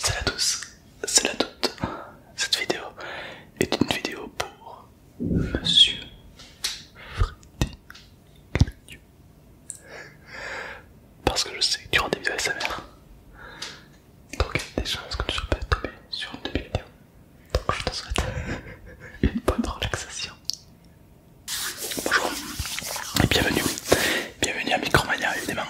Salut à tous, salut à toutes. Cette vidéo est une vidéo pour Monsieur Freddy Parce que je sais que tu rends des vidéos sa mère, donc il y a des chances que tu ne pas tomber sur une vidéos. Donc je te souhaite une bonne relaxation. Bonjour et bienvenue, bienvenue à Micromania évidemment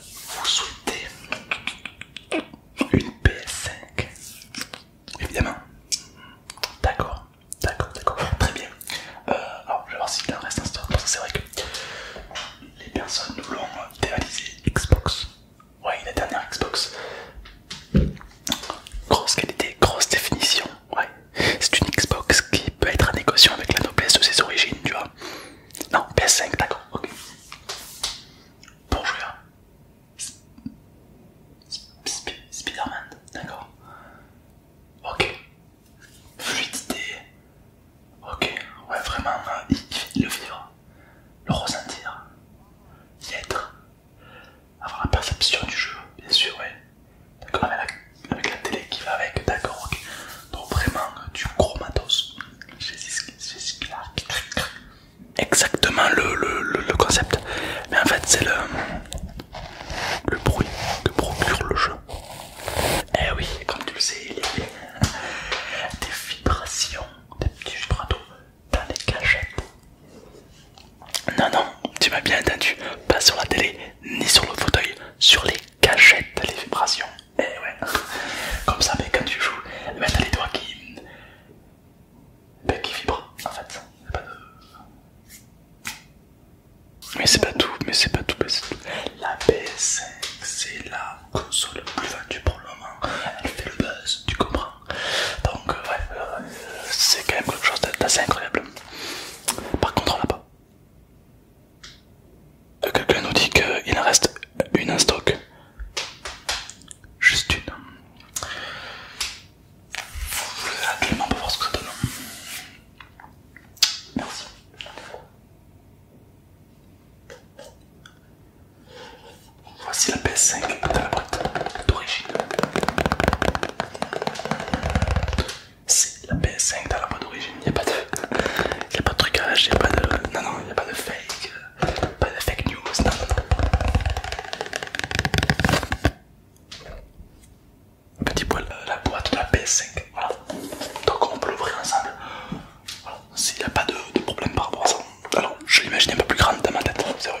vous souhaitez une PS5 Évidemment. D'accord, d'accord, d'accord. Très bien. Euh, alors, je vais voir il en reste un stock. Parce que c'est vrai que les personnes nous l'ont dévalisé, Xbox. Ouais, la dernière Xbox. Grosse qualité, grosse définition. Ouais. C'est une Xbox qui peut être à négociation avec la noblesse de ses origines, tu vois. Non, PS5, d'accord, ok. Pour jouer Spiderman man d'accord. Ok. Fluidité. Ok, ouais, vraiment, euh, le vivre, le ressentir, y être, avoir la perception du jeu, bien sûr, ouais. D'accord, avec, avec la télé qui va avec, d'accord, ok donc vraiment du gros Exactement le, concept, mais en fait c'est le, le bruit que procure le jeu. Eh oui, comme tu le sais, il y a des vibrations, des petits vibrato dans les cachettes. Non, non, tu m'as bien entendu, pas sur la télé ni sur le fauteuil, sur les cachettes, les vibrations. Et eh ouais, comme ça, mais quand tu joues, t'as les doigts qui, ben, vibrent en fait. Mais c'est pas tout, mais c'est pas tout, mais c'est tout. La PS5, c'est la console plus vendue pour le moment. Elle fait le buzz, tu comprends. Donc, euh, ouais, euh, c'est quand même quelque chose d'assez incroyable. Par contre, on l'a pas. Euh, quelqu'un nous dit qu'il en reste une en stock. Juste une. Je vais absolument pour voir ce que ça donne. Merci. Voici la PS5 de la boîte d'origine la PS5 dans la boîte d'origine, il n'y a, pas de... trucage, il Non, non, il n'y a pas de fake, euh, pas de fake news, non, Petit poil, euh, la boîte de la PS5, voilà. Donc on peut l'ouvrir ensemble. s'il n'y a pas de, problème par rapport à ça. Alors, je l'imagine un peu plus grande dans ma tête, sérieux.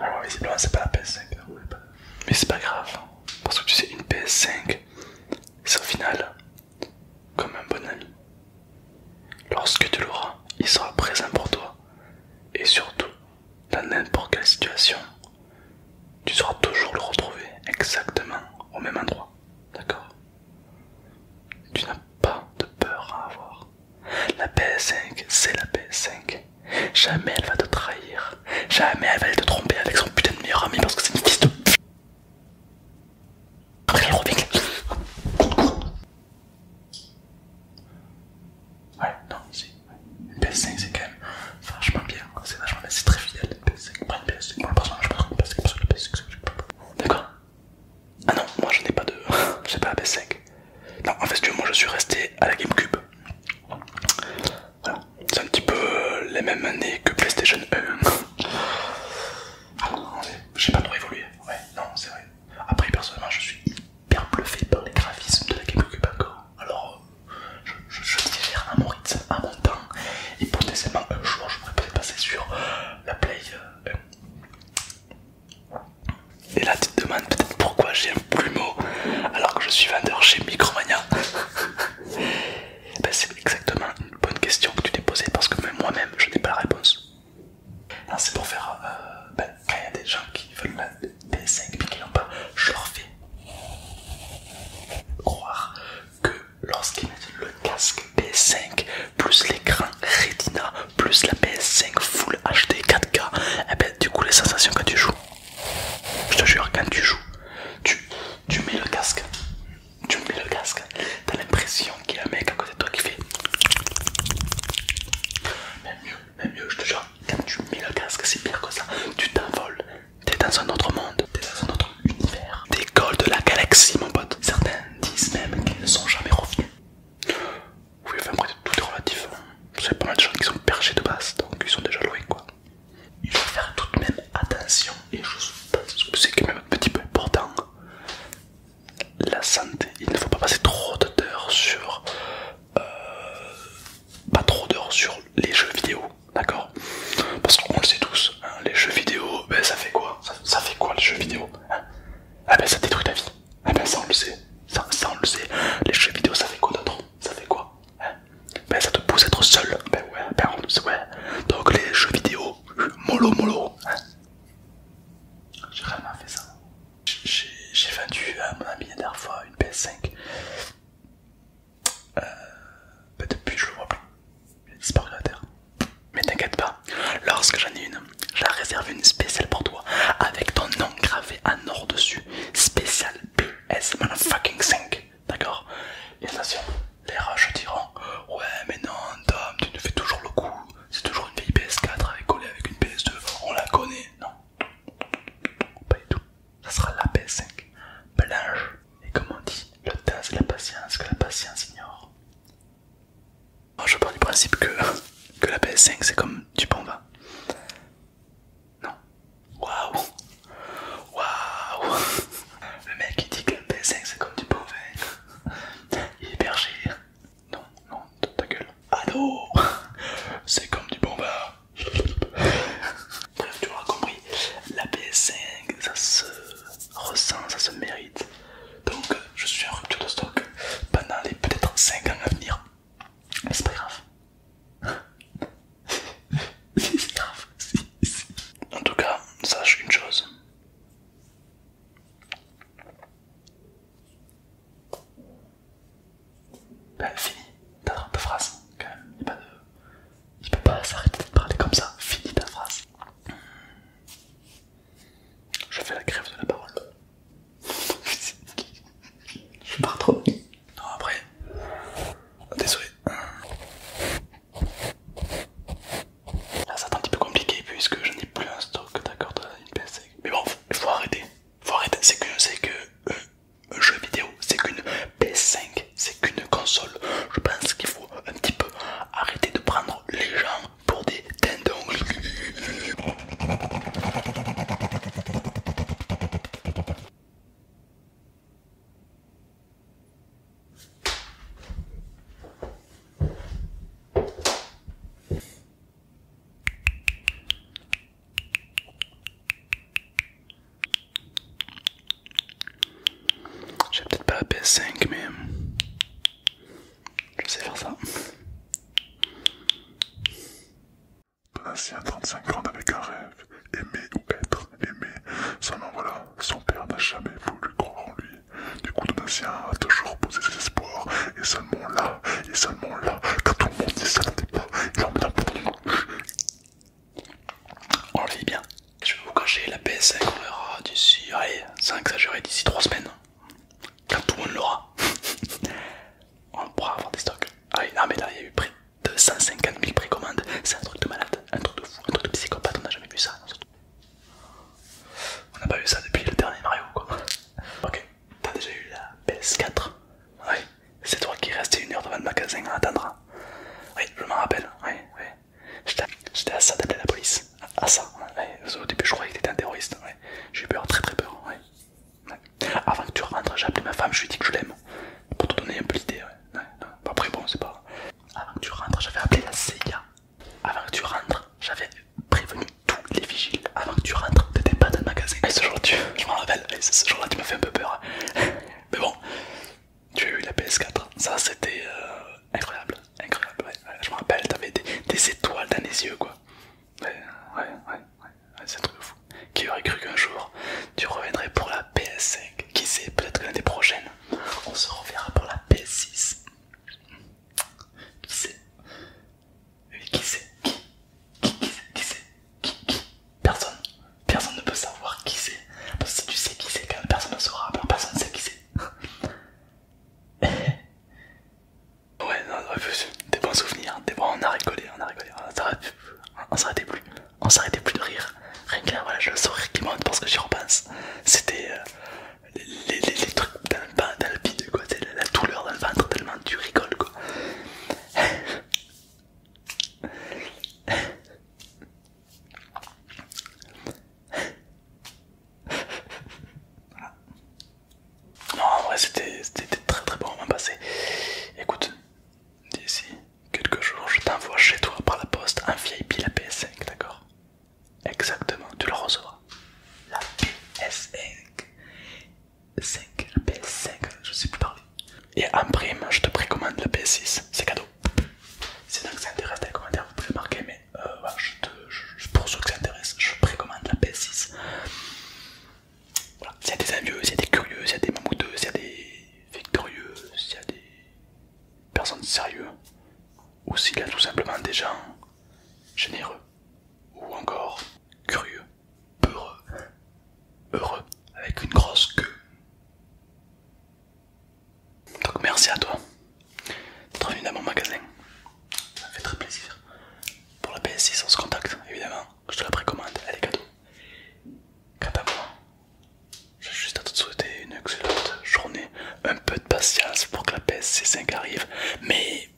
Alors visiblement c'est pas la PS5. Hein. Mais c'est pas grave. Parce que tu sais, une PS5, c'est au final comme un bon ami. Lorsque tu l'auras, il sera présent pour toi. Et surtout, dans n'importe quelle situation, tu sauras toujours le retrouver exactement au même endroit. D'accord Tu n'as pas de peur à avoir. La PS5, c'est la PS5. Jamais elle va te trahir. Jamais elle va aller te tromper avec son putain de meilleur ami parce que c'est une fils de Après, il revient. Ouais, non, si. Une PS5, c'est quand même vachement bien. C'est vachement bien, c'est très fidèle. Une PS5, pas une PS5. Moi, personnellement, je prends une PS5 parce que la PS5, c'est D'accord Ah non, moi je n'ai pas de. n'ai pas la PS5. Non, en fait, moi je suis resté à la GameCube. Voilà, c'est un petit peu euh, les mêmes années que PlayStation 1. E. Ah, j'ai pas trop évolué, ouais, non, c'est vrai. Après, personnellement, je suis hyper bluffé par les graphismes de la GameCube encore. Alors, euh, je, je, un à mon à mon temps, et un jour je pourrais peut-être passer sur euh, la Play. 1. E. Et là tu te demandes peut-être pourquoi j'ai un plumeau alors que je suis vendeur chez Micromania. Ben, c'est exactement une bonne question que tu t'es posée parce que même moi-même je n'ai pas la réponse. C'est pour faire... Euh, ben, quand il y a des gens qui veulent la PS5 mais qui n'ont pas, je leur fais croire que lorsqu'ils mettent le casque PS5 plus l'écran Retina plus la PS5 Full HD 4K, et ben du coup les sensations quand tu joues, je te jure quand tu joues, tu, mets le casque, tu mets le casque, t'as l'impression qu'il y a un mec à côté de toi qui fait même mieux, même mieux, je te jure, quand tu mets le casque, c'est pire que ça, tu t'envoles, t'es dans un autre monde, t'es dans un autre univers, t'es de la galaxie mon pote, certains disent même qu'ils ne sont jamais revenus. Oui, enfin, tout est relatif. C'est pas mal de gens qui sont perchés de base, donc ils sont déjà loués, quoi. Il faut faire tout de même attention, et je pense que c'est quand même un petit peu important. La santé, il ne faut pas passer trop d'heures sur. Euh, pas trop d'heures sur les jeux vidéo, d'accord Parce qu'on le sait tous, hein, les jeux vidéo, ben, ça fait quoi ça, fait quoi les jeux vidéo hein Ah ben ça détruit ta vie, ah ben ça on le sait, ça, on le sait. Les jeux vidéo ça fait quoi d'autre Ça fait quoi hein? Ben ça te pousse à être seul. Ben ouais, ben on le sait, ouais. Donc les jeux vidéo, mollo mollo. Hein J'ai vraiment fait ça. J'ai vendu à mon ami la dernière fois une PS5. Euh, ben depuis je le vois plus. Il a disparu de la terre. Mais t'inquiète pas, lorsque j'en ai une, j'ai réservé une spéciale pour toi avec ton nom gravé en or dessus. Spécial Man Fucking 5. D'accord Et attention, les roches diront Ouais, mais non, Tom, tu nous fais toujours le coup. C'est toujours une vieille PS4 avec collée avec une PS2. On la connaît. Non, pas du tout. Ça sera la PS5. Blanche. Et comme on dit, le temps c'est la patience que la patience ignore. Moi, je pars du principe que, la PS5 c'est comme du bon vin. Non. Waouh. Waouh. Le mec il dit que la PS5 c'est comme du bon vin. Il est Non, non, ta gueule. Allô C'est comme du bon Bref, tu l'auras compris. La PS5 ça se ressent, ça se mérite. Donc je suis en rupture de stock pendant les peut-être 5 ans à venir. Mais c'est pas grave. si, c'est grave. Si, si. En tout cas, sache une chose. Ben, fini. T'as trop de phrases, quand même. Il, pas peut pas s'arrêter de parler comme ça. Fini ta phrase. Je fais la grève de la parole. Je pars trop Non, après. Ah, désolé. Là, c'est un petit peu compliqué puisque je n'ai plus un stock d'accord de une PS5. Mais bon, il faut arrêter. Faut arrêter. C'est que, euh, jeu vidéo, c'est qu'une PS5, c'est qu'une console. Je pense qu'il faut un petit peu arrêter de prendre les gens pour des dindons. J'ai peut-être pas la PS5 mais hum, je sais faire ça. Donatien, 35 ans, avec un rêve, aimer ou être aimé. Seulement voilà, son père n'a jamais voulu croire en lui. Du coup, Donatien a toujours posé ses espoirs, et seulement là, et seulement là, quand tout le monde dit ça pas, il en met un peu On le vit bien. Je vais vous cacher la PS5, on verra d'ici, allez, ça exagérer d'ici 3 semaines quand tout le monde l'aura, on pourra avoir des stocks. Ah oui, non, mais là, il y a eu près de 150 000 précommandes. C'est un truc de malade, un truc de fou, un truc de psychopathe. On n'a jamais vu ça. On n'a pas vu ça depuis le dernier Mario, quoi. Ok, t'as déjà eu la PS4 Oui, c'est toi qui restais une heure devant le magasin en attendant. Oui, je m'en rappelle, oui, oui. J'étais à ça d'appeler la police. À ça, au début je croyais que t'étais un terroriste. J'ai eu peur, très très peur. Avant que tu rentres, j'ai appelé ma femme, je lui ai dit que je l'aime. Pour te donner un peu l'idée, Après, bon, c'est pas. Avant que tu rentres, j'avais appelé la CIA. Avant que tu rentres, j'avais prévenu tous les vigiles. Avant que tu rentres, t'étais pas dans le magasin. Et ce jour-là, tu... je m'en rappelle, ce jour-là, tu m'as fait un peu peur. Hein. Mais bon, tu as eu la PS4. Ça, c'était euh, incroyable. Incroyable, Je me rappelle, t'avais des, des étoiles dans les yeux, quoi. Ouais, ouais, ouais, ouais, c'est un truc fou. Qui aurait cru qu'un jour tu reviendrais pour la PS5 Qui sait, peut-être que l'année prochaine on se reverra pour la PS6. Qui sait qui sait qui qui, qui qui sait Qui Qui Personne. Personne ne peut savoir qui c'est. Parce que si tu sais qui c'est, personne ne saura. Personne ne sait qui c'est. Ouais, non, des bons souvenirs, hein, des bons, on a rigolé, on a rigolé, on s'arrêtait plus, on s'arrêtait plus de rire. Rien que voilà, le sourire qui monte parce que j'y repense. C'était euh, les, trucs dans le, dans le quoi, la, la douleur dans le ventre, tellement tu rigoles, quoi. Non, en vrai, c'était très très bon moment passé. Écoute, d'ici quelques jours, je t'envoie chez toi par la poste un VIP la PS5, d'accord Exactement, tu le recevras. La PS5. la PS5, je sais plus parler. Et en prime, je te précommande la PS6, c'est cadeau. Si donc ça intéresse dans les commentaires, vous pouvez marquer, mais euh, je te, pour ceux que ça intéresse, je précommande la PS6. Voilà, s'il y a des envieux, s'il y a des curieux, s'il y a des mamouteux, s'il y a des victorieux, s'il y a des personnes sérieuses, ou s'il y a tout simplement des gens généreux, ou encore curieux, peureux, heureux, avec une grosse queue. Donc merci à toi d'être venu dans mon magasin ça me fait très plaisir. Pour la PS6, on se contacte évidemment. Je te la précommande, elle est cadeau. Quant à moi, j'ai juste à te souhaiter une excellente journée. Un peu de patience pour que la PS5 arrive, mais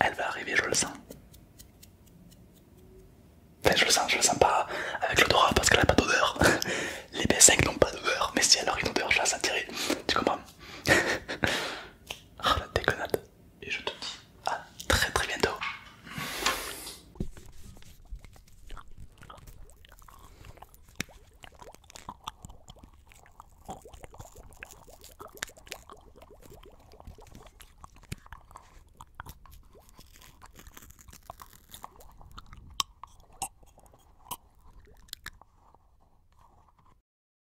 elle va arriver, je le sens. Enfin, je le sens, je le sens pas avec l'odorat parce qu'elle a pas d'odeur. Les PS5 n'ont pas d'odeur, mais si elle aurait une odeur, je la sentirai. Tu comprends ah, la déconnade et je te dis à très très bientôt.